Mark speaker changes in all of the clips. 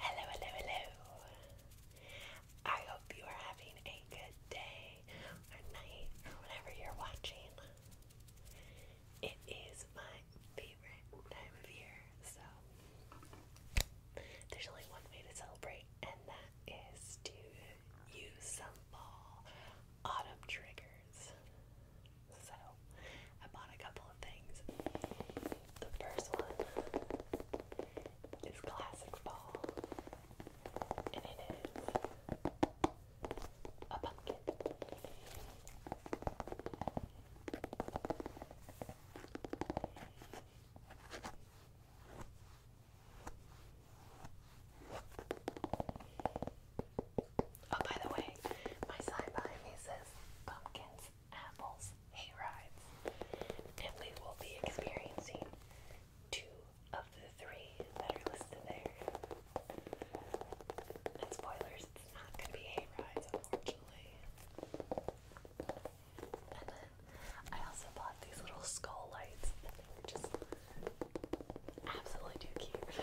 Speaker 1: Hello, hello, hello. I hope you are having a good day or night or whenever you're watching. It is my favorite time of year, so there's only one way to celebrate, and that is to use some fall autumn triggers. So I bought a couple of things. The first one is Classic Fall, and it is a pumpkin. Oh, by the way, my sign behind me says pumpkins Apple's hay and we will be experiencing two of the three that are listed there. spoilers, it's not going to be hay rides, unfortunately. And then I also bought these little skull lights, and were just absolutely too cute.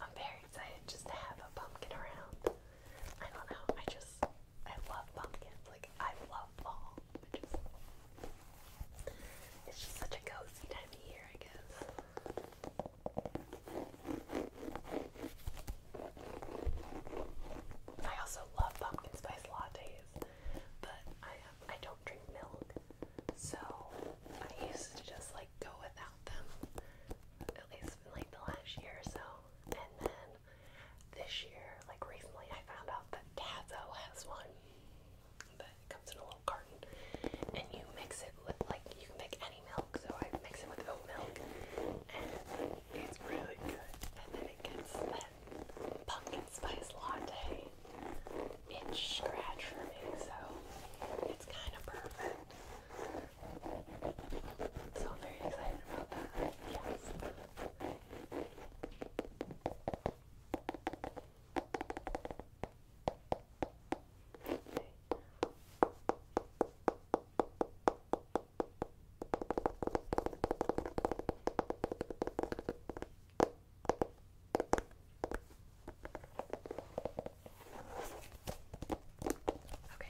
Speaker 1: I'm very excited just to have a pumpkin around. I don't know, I just, I love pumpkins. Like, I love fall. I just, it's just such a cozy time of year, I guess. I also love pumpkin spice lattes. But I um, I don't drink milk, so I used to just like go without them, at least like the last year or so. And then this year, like recently, I found out that Tazo has one. But comes in a little carton, and you mix it with like you can make any milk. So I mix it with oat milk, and it's really good. And then it gets pumpkin spice latte itch scratch for me, so it's kind of perfect. So I'm very excited about that. Yes. Okay,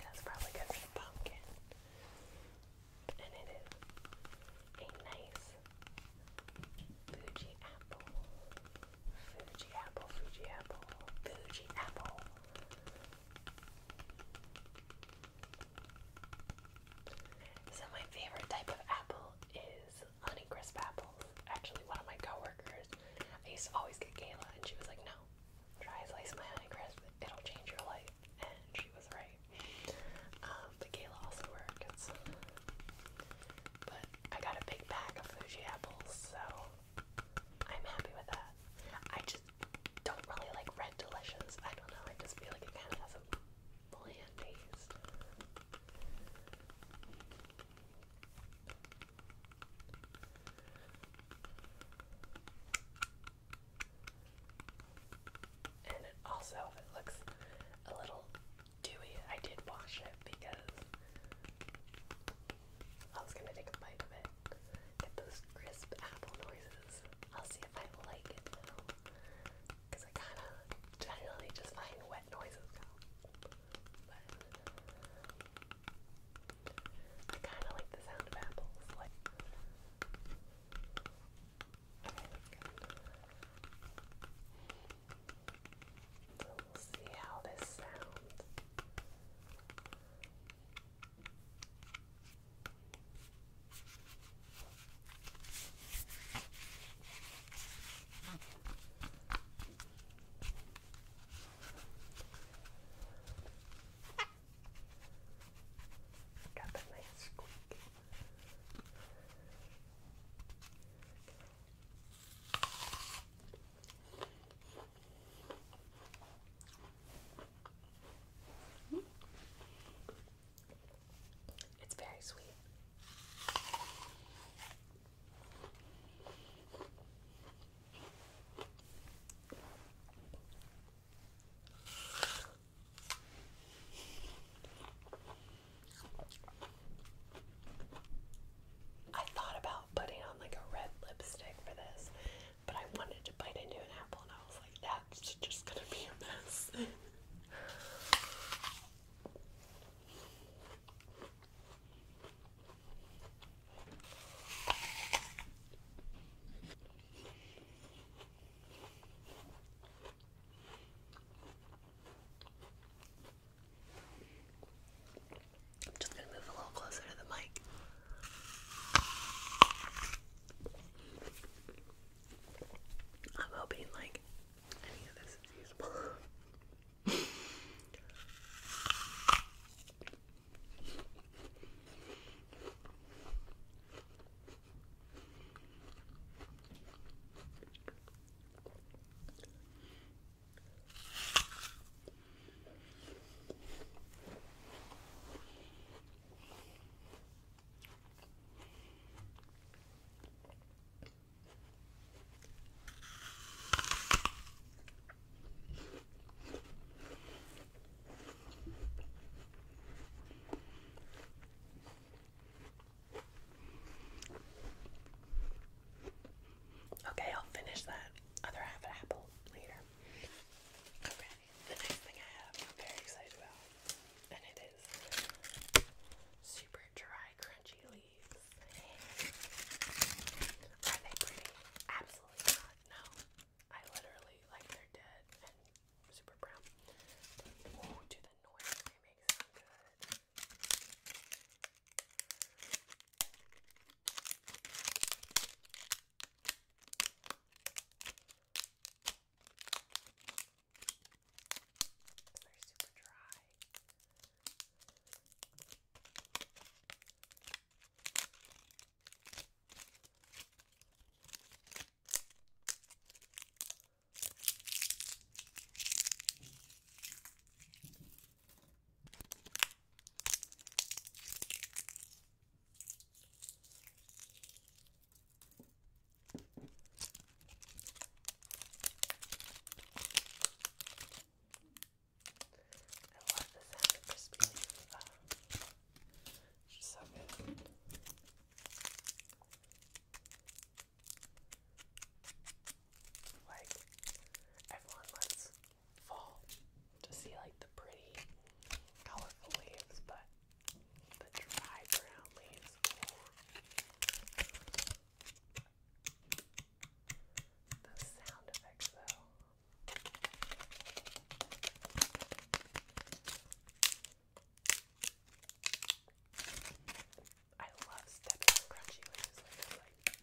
Speaker 1: that's probably good And it is a nice Fuji apple. Fuji apple, Fuji apple, Fuji apple. So my favorite type of apple is Honeycrisp apples. Actually, one of my coworkers, I used to always get Gala, and she was like, "No, try a slice of my Honeycrisp. It'll change your life." And she was right. Um, but Gala also works. But I got a big pack of Fuji apples, so I'm happy with that. I just don't really like red delicious. I don't know. I just feel like it kind of has a and also, if it looks a little dewy, I did wash it because I was gonna take a bite of it. Get those crisp apple noises. I'll see if I like it because I kind of generally just find wet noises But I kind of like the sound of apples. Like, So we'll see how this sounds. Got that nice squeak. Mm -hmm. It's very sweet. I thought about putting on like a red lipstick for this, but I wanted to bite into an apple and I was like that's just gonna be a mess. I'm just going to move a little closer to the mic. I'm hoping like any of this is usable. Okay, I'll finish that other half of apple later. Okay, the next thing I have, I'm very excited about and it is super dry, crunchy leaves. Are they pretty? Absolutely not. No, I literally like they're dead and super brown. Oh, do the noise they make good. They're super dry. I love the sound of crispy leaf. so good. Like, everyone lets fall to see like the pretty, colorful leaves, but the dry brown leaves. The sound effects, though. I love stepping on crunchy leaves like. Oh.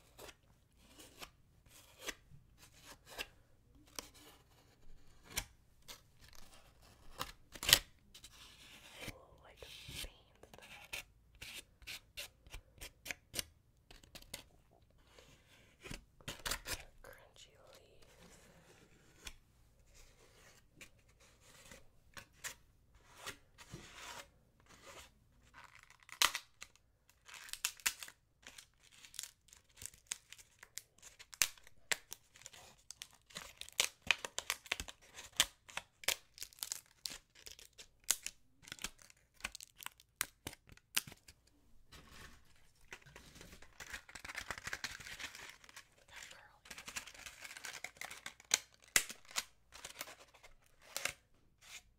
Speaker 1: like veins there. Crunchy leaves. Like that girl is.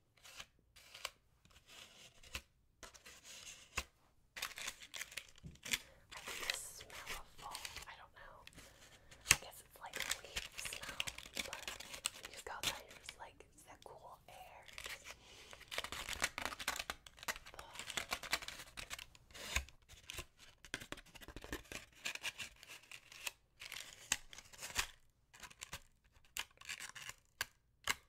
Speaker 1: I like the smell of fall. I don't know. I guess it's like a leaf smell, but you just go outside and it's like it's that cool air. The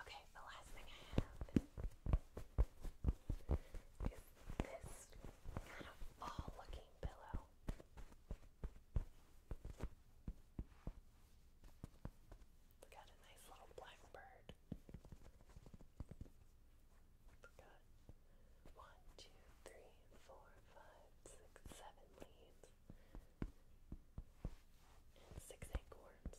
Speaker 1: Okay, the last thing I have is this kind of fall looking pillow. Got a nice little blackbird. Got one, two, three, four, five, six, seven leaves and six acorns.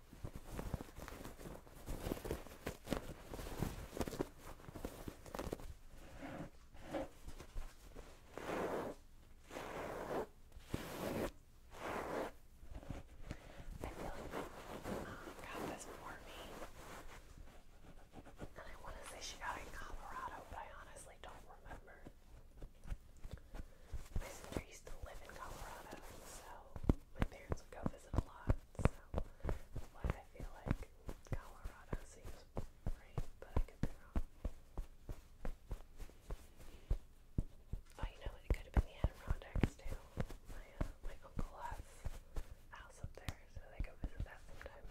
Speaker 1: Oh, got this for me. And I want to say she got it in Colorado, but I honestly don't remember. My sister used to live in Colorado, so my parents would go visit a lot so why I feel like Colorado seems right, but I could be wrong. Oh, you know what? It could have been the Adirondacks too. My uh, my uncle has a house up there, so they go visit that sometime.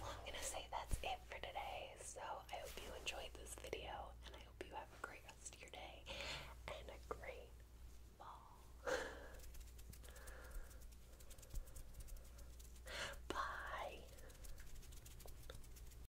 Speaker 1: Well, I'm gonna say that's it for today. So I hope you enjoyed this video, and I hope you have a great rest of your day and a great fall. Bye.